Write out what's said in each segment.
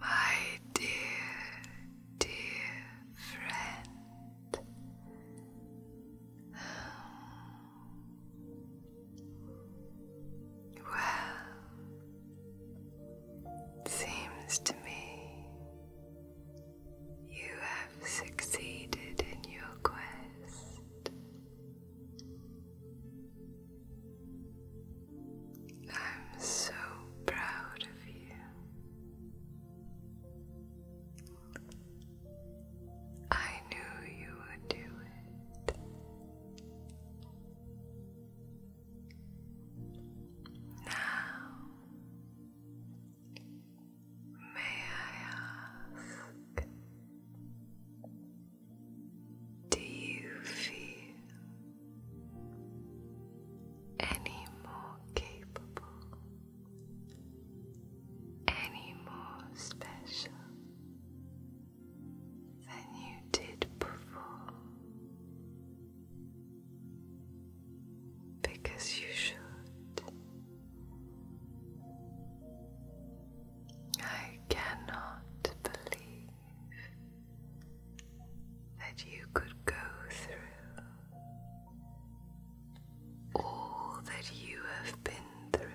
my dear, dear friend, well, seems to me you have succeeded in your quest. I'm so proud of you. I knew you would do it. Now, may I ask, do you feel any more capable, any more special than you did before, because you should. I cannot believe that you could go through all that you have been through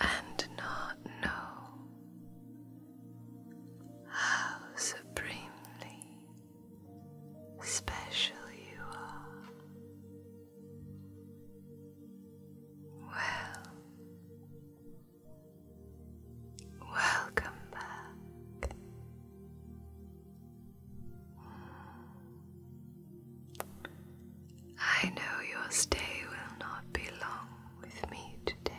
and not know how supremely special you are. Well, Welcome back. I know your stay will not be long with me today.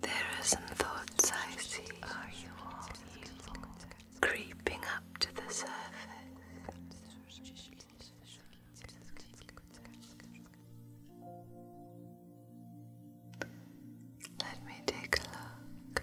There are some thoughts I see. Are you all evil? Creeping up to the surface. Let me take a look.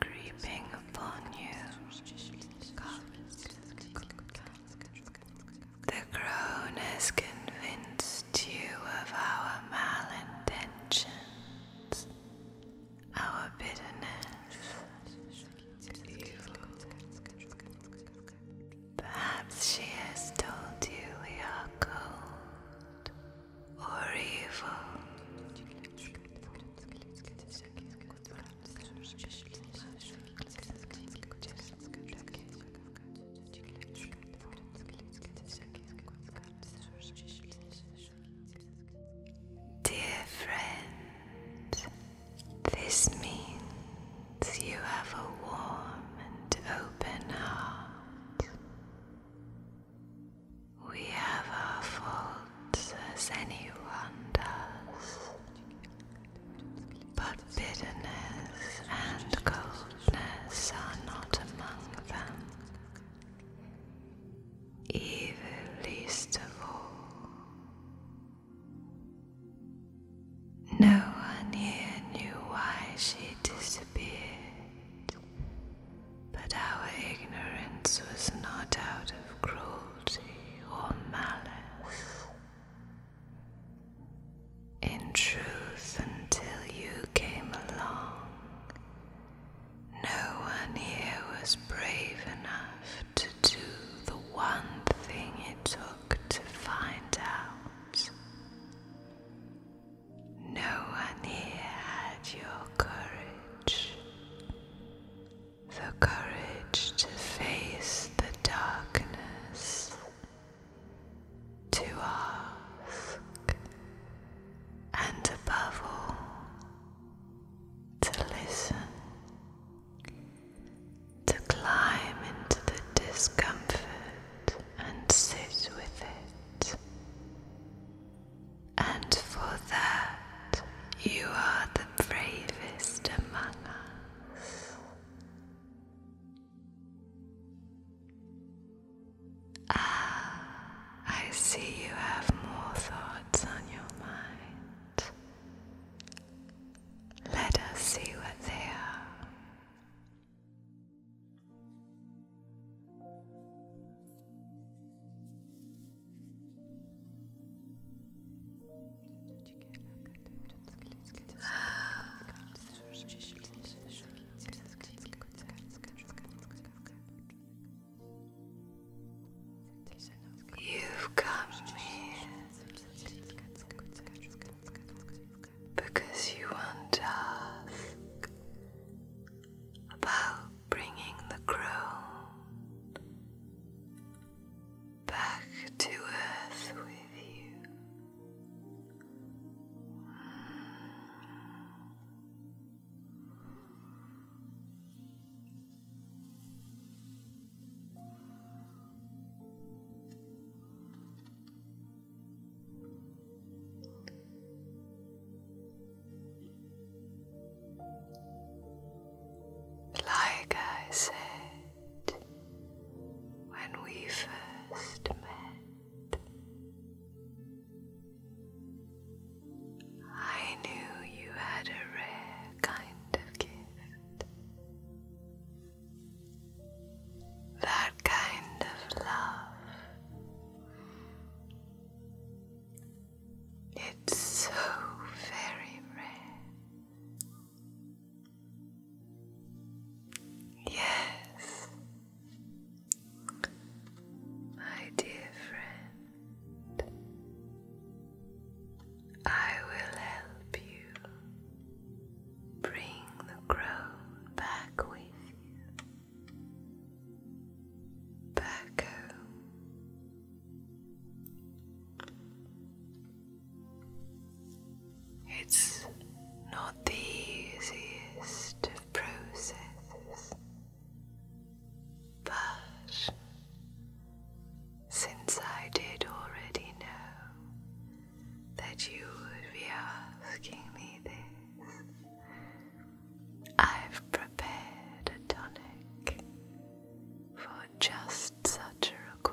creeping upon you. The crone has convinced you of our malintentions, our bitterness, Perhaps she has told you we are cold or evil. Dear friend, this means you have a warm and open heart. We have our faults as anyone does, but bitterness and coldness are not among them. Evil least of all. No one here knew why she disappeared, but our ignorance was not out of cruelty or malice. In truth, until you came along, no one here was brave enough to do the one thing it took to find out. No one here had your courage the courage to face the darkness, to ask, and above all, to listen, to climb into the discomfort and sit with it and for that you are the bravest among us. Ah, I see you have more thoughts on your mind. Let us see what they are. You've come me, because you want to ask about bringing the ground back to earth with you. Like I said when we first met, I knew you had a rare kind of gift. That kind of love it's so very rare. Yes, my dear friend, I will help you bring the crow back with you. Virgo. It's not the easiest of processes, but since I did already know that you would be asking me this, I've prepared a tonic for just such a request.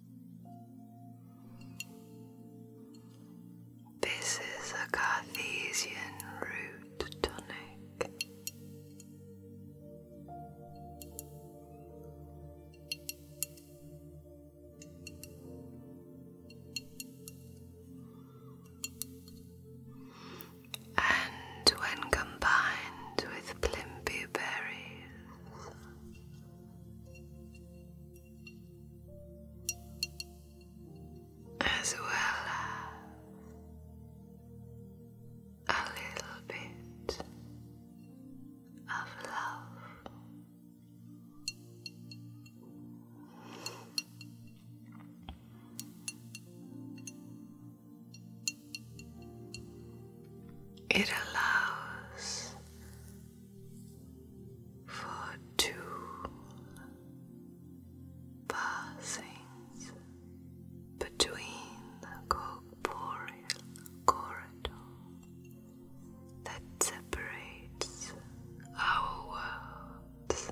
This is a Cartesian root tonic. And when combined with Plimpy berries, as well as a little bit of love. It allows for two passings between the corporeal corridor that separates our worlds.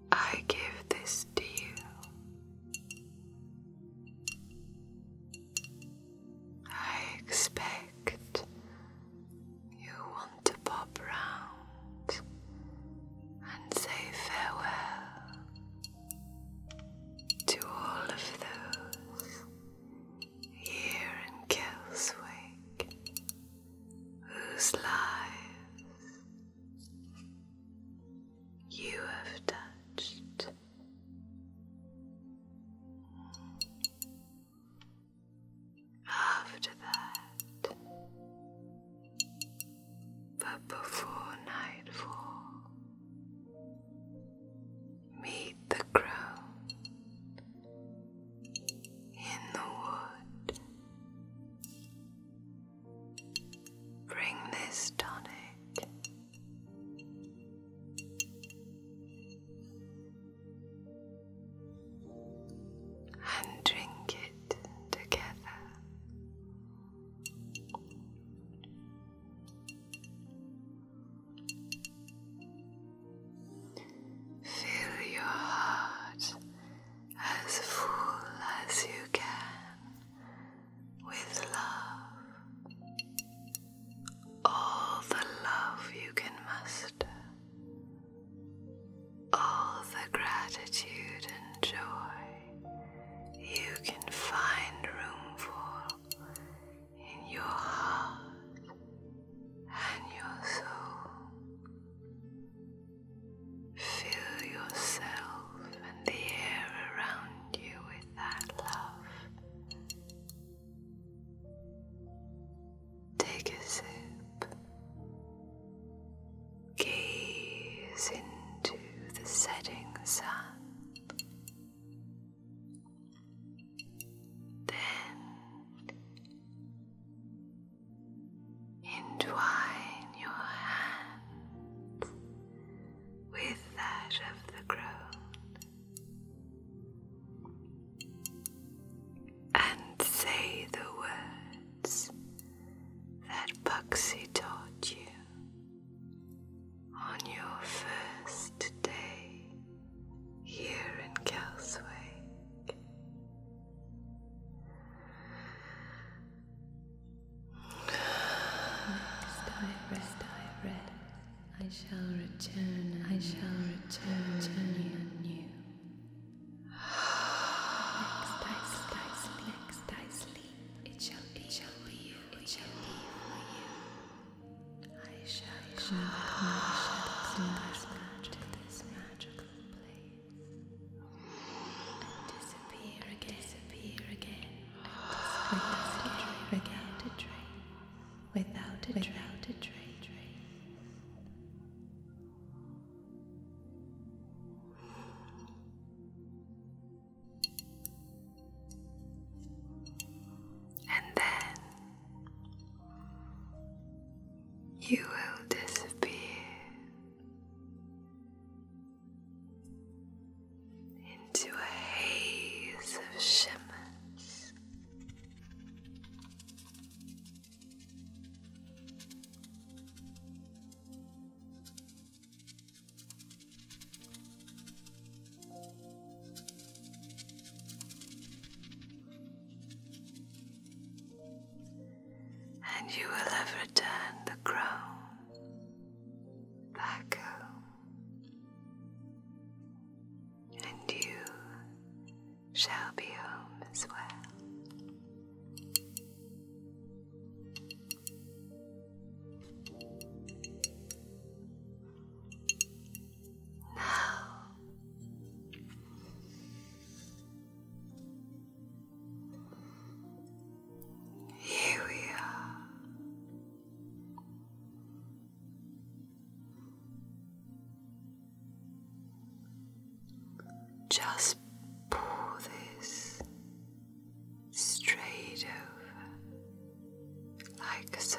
I give this to you. I expect you want to pop round and say farewell to all of those here in Kelswick whose lives you have touched. After that, but before nightfall, meet the crone in the wood. Bring this tonic and drink it together. Fill your heart as full as you can with love, all the love you can muster, all the gratitude and joy you can find room for in your heart and your soul. Fill yourself and the air around you with that love. Take a sip. Gaze into the setting sun. Then Entwine your hands with that of the crone and say the words that Buxy taught you on your first day here in Kelswick. Next I rest, I rest, I shall return, I shall return, return you anew. Next I sleep, I sleep, it shall be, shall be you, it shall be for you. I shall come, I to this magical place and disappear again, disappear again, without a trace, a trace, a trace. You will disappear into a haze of shimmer and you will ever turn the crown back home, and you shall be home as well. Now here we are. Just pull this straight over, like so.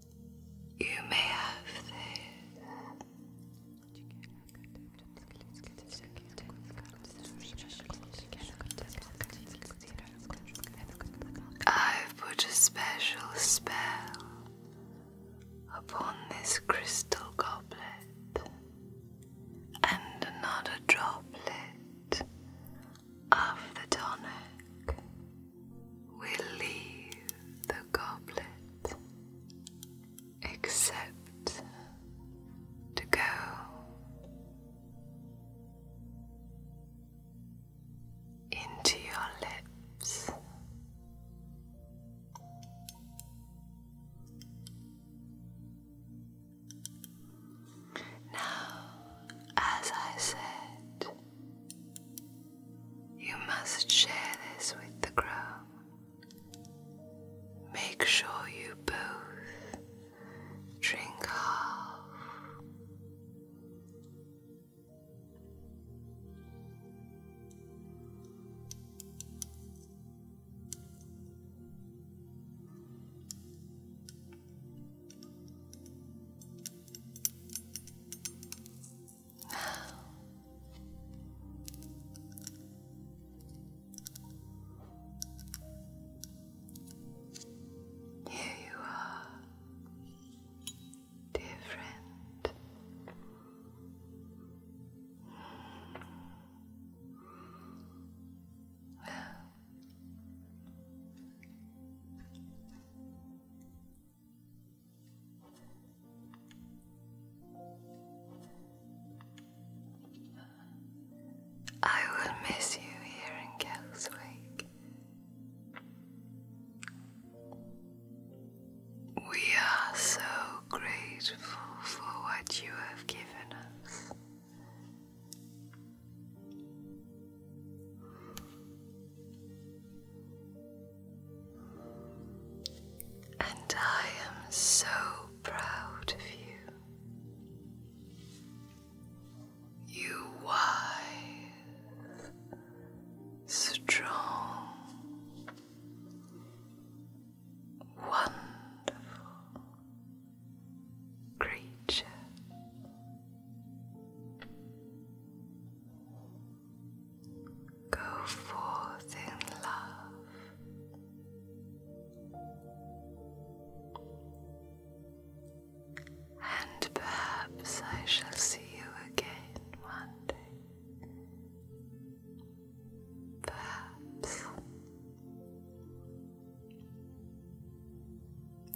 You may have I've put a special spell upon this crystal goblet, and another droplet of the tonic will leave the goblet except to go. Into your lips, now, as I said, you must share this with the crowd. Make sure you both drink half. Here you are, dear friend. I will miss you here in Kelswick. We are so grateful for what you have given us. And I am so proud of you. You wise, strong, wonderful creature. Go forth in love and perhaps I shall see you again one day. Perhaps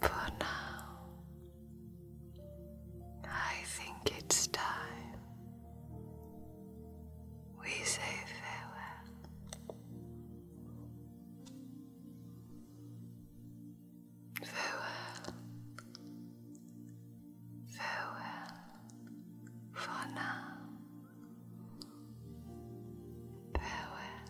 for now I think it's time we say farewell. Farewell. Farewell for now. Farewell.